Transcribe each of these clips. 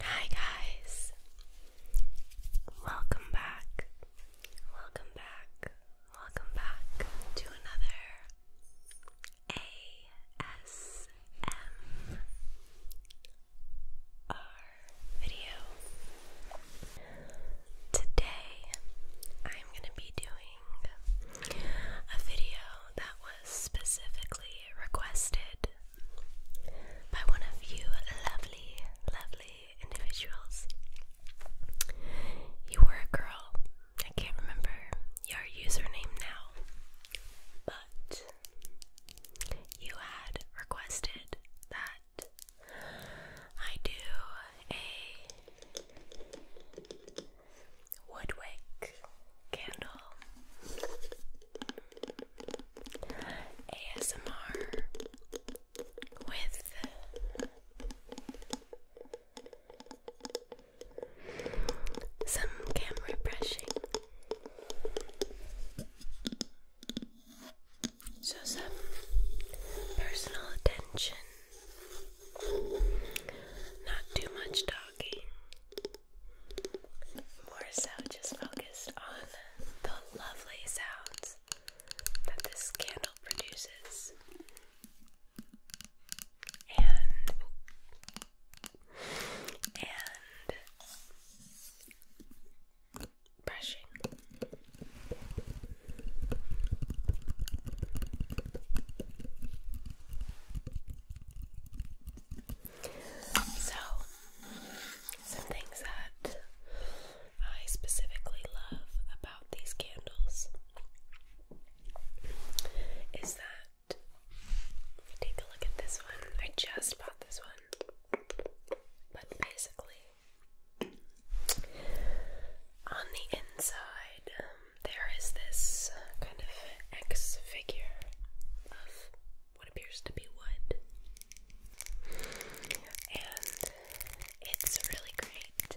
Hi guys. Welcome back. Welcome back. Welcome back to another ASMR video. Today I'm going to be doing a video that specifically requested by one of you lovely, lovely individuals. You were a girl. I can't remember your username now, but you had requested that I do a woodwick candle. ASMR with some camera brushing. So, some personal attention, not too much talking, more so just focused on the lovely sounds that this candle produces. And and brushing. So, some things that I specifically love about these candles is that take a look at this one. I just bought this one, but basically, on the inside, um, there is this kind of X figure of what appears to be wood. And it's really great.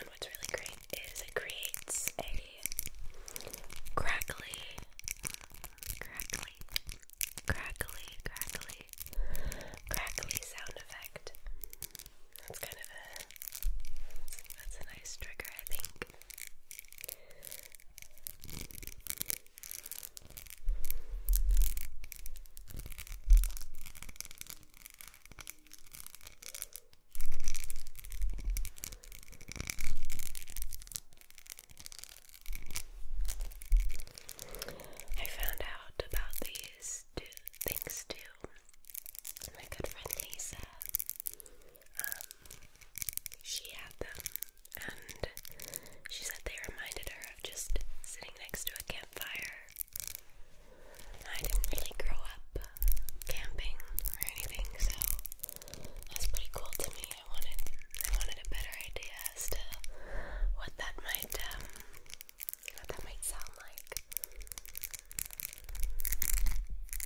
And what's really great is it creates a crackly, crackly, crackly, crackly, crackly sound effect. That's kind of a that's a nice trigger, I think. I found out about these two things too. My good friend Lisa um, she had them, and she said they reminded her of just sitting next to a campfire. I didn't really grow up camping or anything, so that's pretty cool to me. I wanted, I wanted a better idea as to what that might, um, what that might sound like.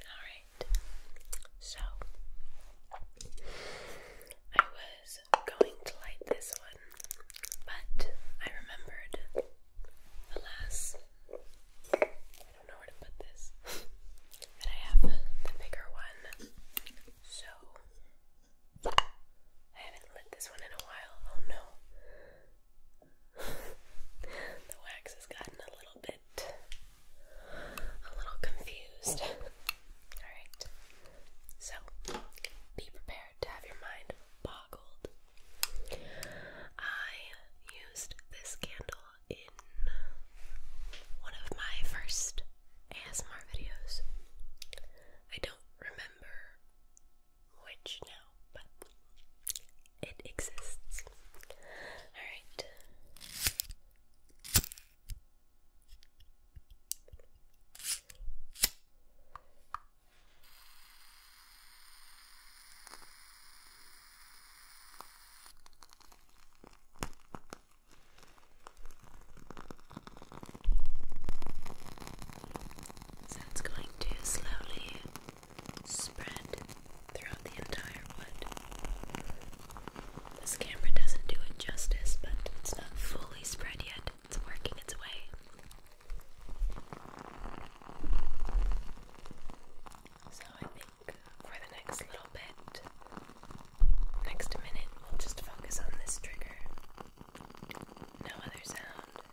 Alright, so I was going to light this one, but I remembered, alas, I don't know where to put this, that I have the bigger one, so I haven't lit this one in a while. Oh no. the wax has gotten a little bit a little confused. Alright. So be prepared to have your mind boggled. I used this candle in one of my first ASMR videos. I don't remember which now, but it exists. Alright. So going to slowly spread throughout the entire wood. This camera doesn't do it justice, but it's not fully spread yet. It's working its way. So I think for the next little bit, next minute, we'll just focus on this trigger. No other sound.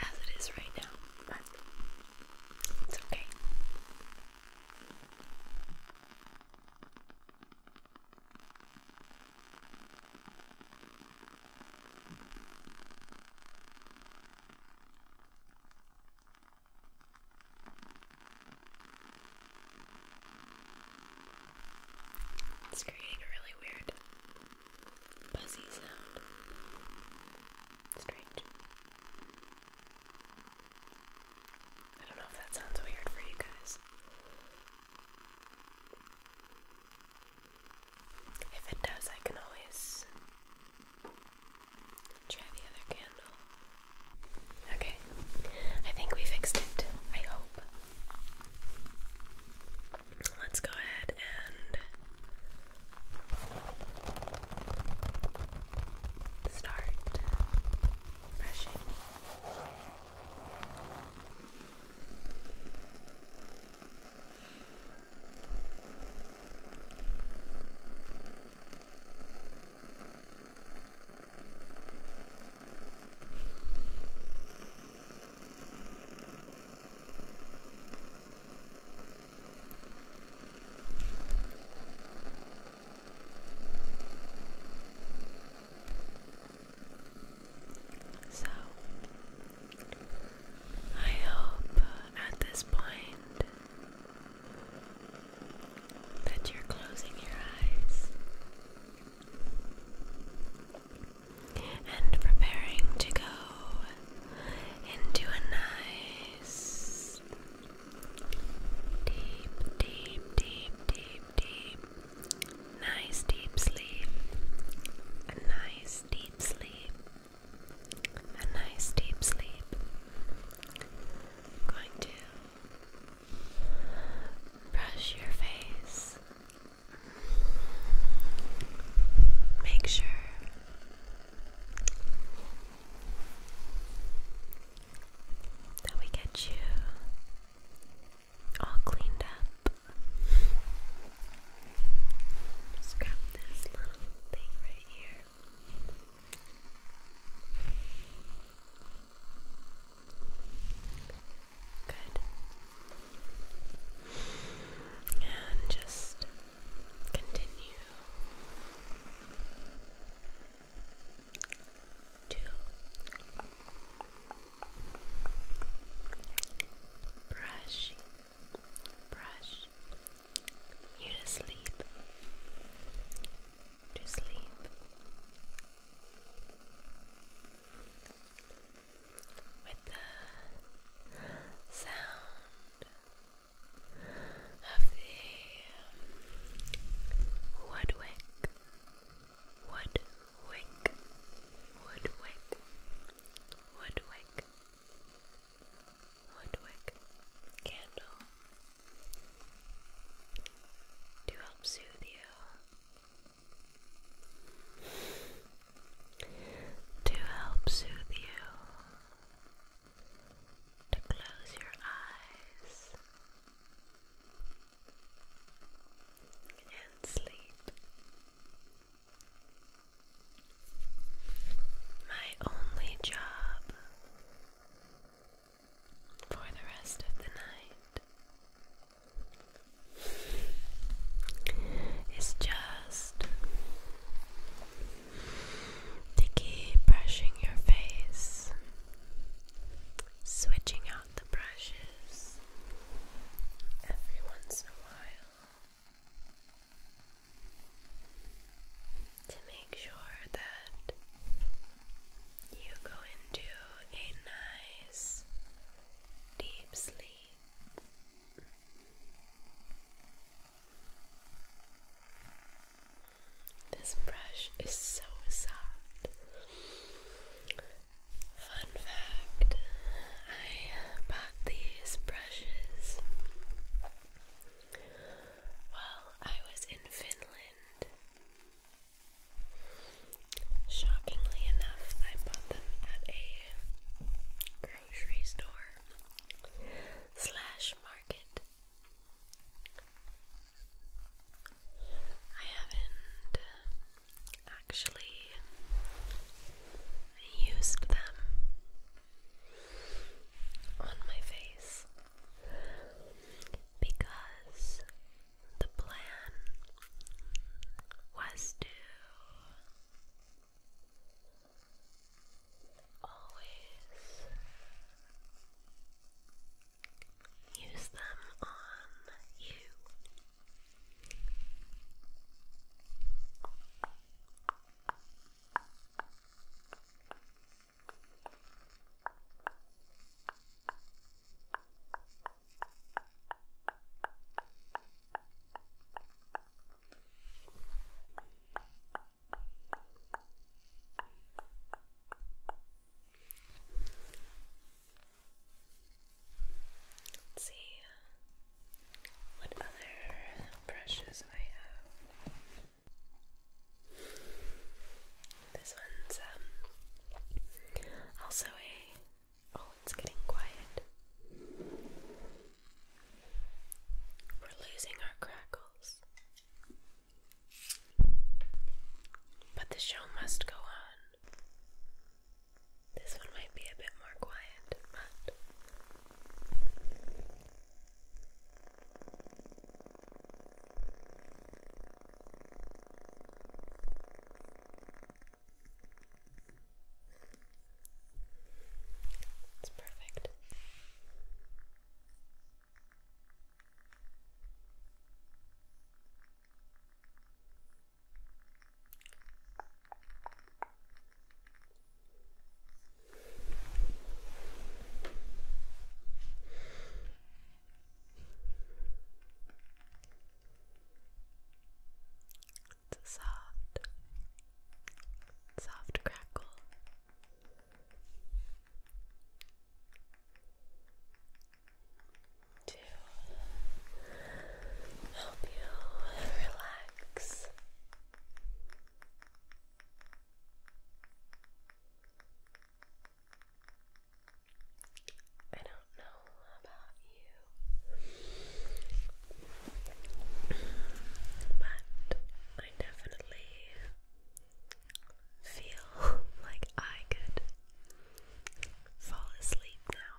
as it is right now, but it's okay. It's creating a really weird buzzy sound. Strange. I don't know if that sounds weird for you guys. If it does, I can always try the other candle. Okay, I think we fixed it. I hope. Let's go ahead and start brushing. So, I hope uh, at this point that you're closing your eyes and preparing to go into a nice deep, deep, deep, deep, deep, nice deep sleep, a nice deep sleep, a nice deep sleep. going to Brush your face. Make sure that we get you all cleaned up. Just this little thing right here. Good. And just continue to brush, brush you to sleep, to sleep with the sound of the woodwick, woodwick, woodwick, woodwick, woodwick candle to help soothe you to help soothe you, to close your eyes and sleep. My only job for the rest of the night it's just to brushing your face, switching out the brushes every once in a while to make sure that you go into a nice deep sleep. This brush is so soft. Fun fact I bought these brushes while I was in Finland. Shockingly enough, I bought them at a grocery store slash market. I haven't actually used them on my face because the plan was to always use them on you. Let's see what other brushes I have. This one's um, also a Oh, it's getting quiet. We're losing our crackles. But the show must go on. This one might be a bit more quiet, but. It's perfect soft, soft crackle. To help you relax. I don't know about you, but I definitely feel like I could fall asleep now.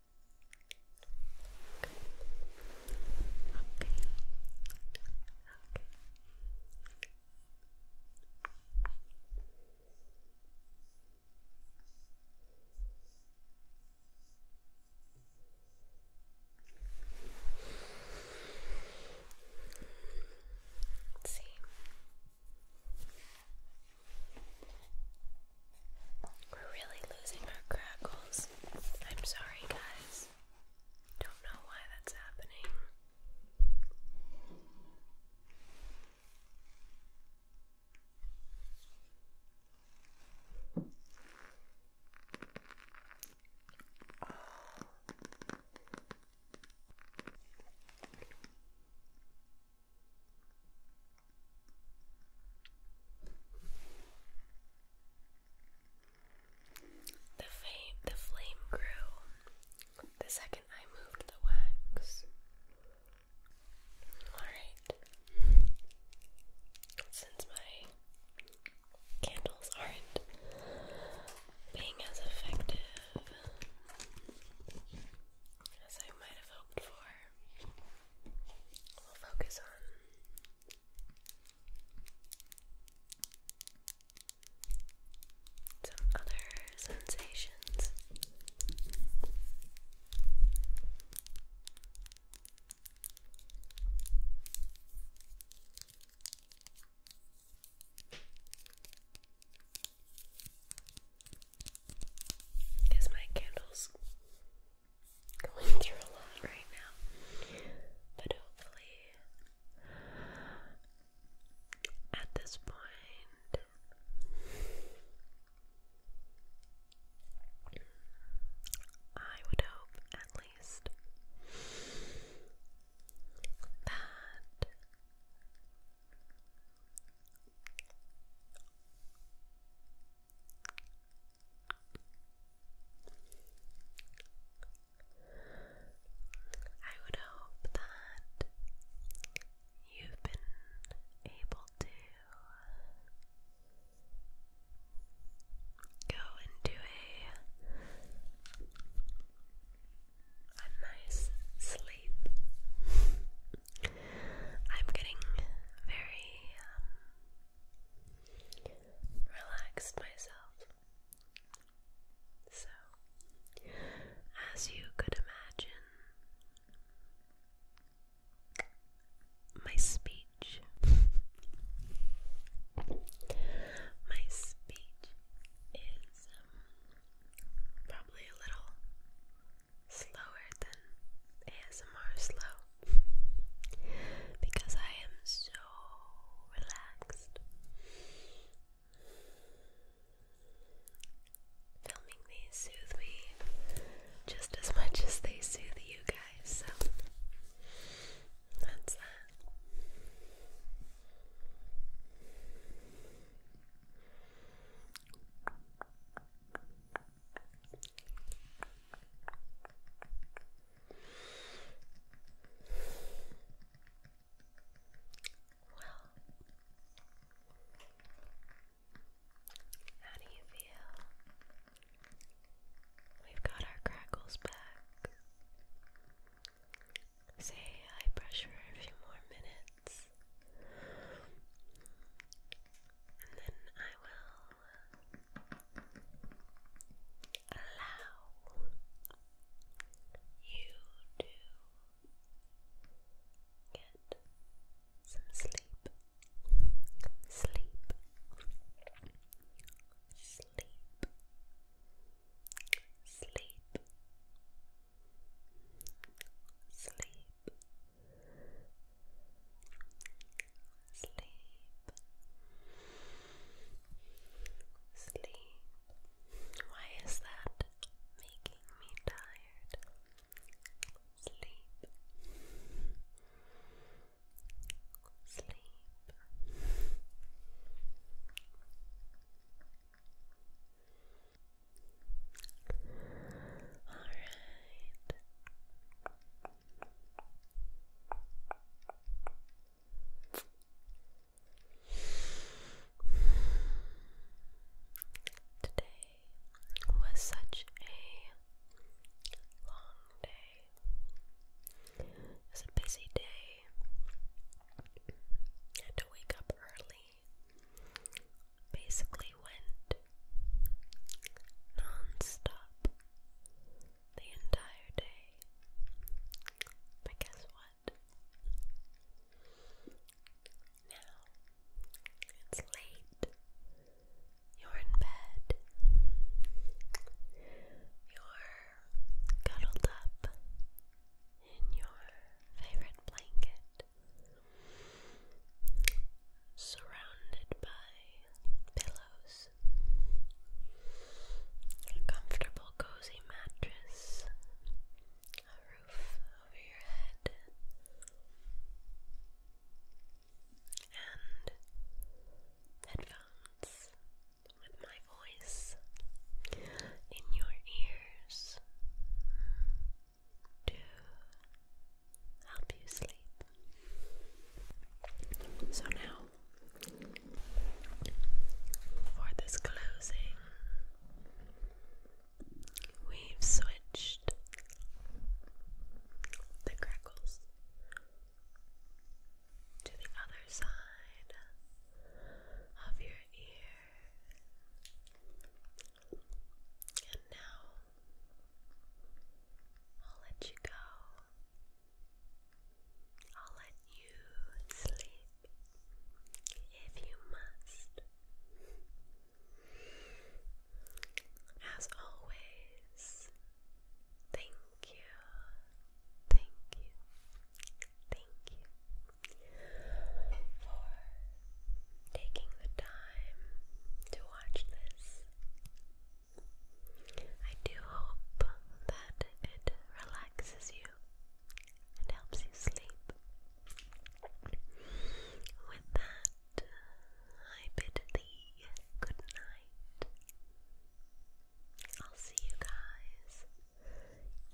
Let's see. We're really losing our crackles. I'm sorry, guys. Don't know why that's happening. The flame, grew the second I moved the wax. Alright. Since my candles aren't being as effective as I might have hoped for, we'll focus on some other sensations. Is my candles going through a lot right now, but hopefully, at this point, I would hope at least that. I would hope that you've been able to go into a a nice sleep. I'm getting very um, relaxed myself. So, as you could imagine, my speech, my speech is um, probably a little slower than ASMR slow because I am so relaxed. Filming these soothe me just as much as they soothe you guys, so that's that. Well, how do you feel? We've got our crackles back. Say I brush for a few more minutes. And then I will allow you to get some sleep, sleep, sleep, sleep. Sleep, sleep, sleep. Why is that making me tired? Sleep, sleep. All right. Today was such a long day. It a busy day. had to wake up early. Basically went non the entire day. But guess what? Now it's late. You're in bed. You're cuddled up in your favorite blanket surrounded by pillows, a comfortable, cozy mattress, a roof over your head, and headphones with my voice in your ears to help you sleep. So now for this closing, we've switched the crackles to the other side of your ear, and now I'll let you go I'll let you sleep if you must. As always, thank you, thank you, thank you for taking the time to watch this. I do hope that it relaxes you and helps you sleep. With that, I bid thee good night. I'll see you guys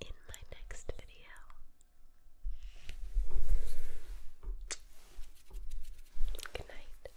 in my next video. Good night.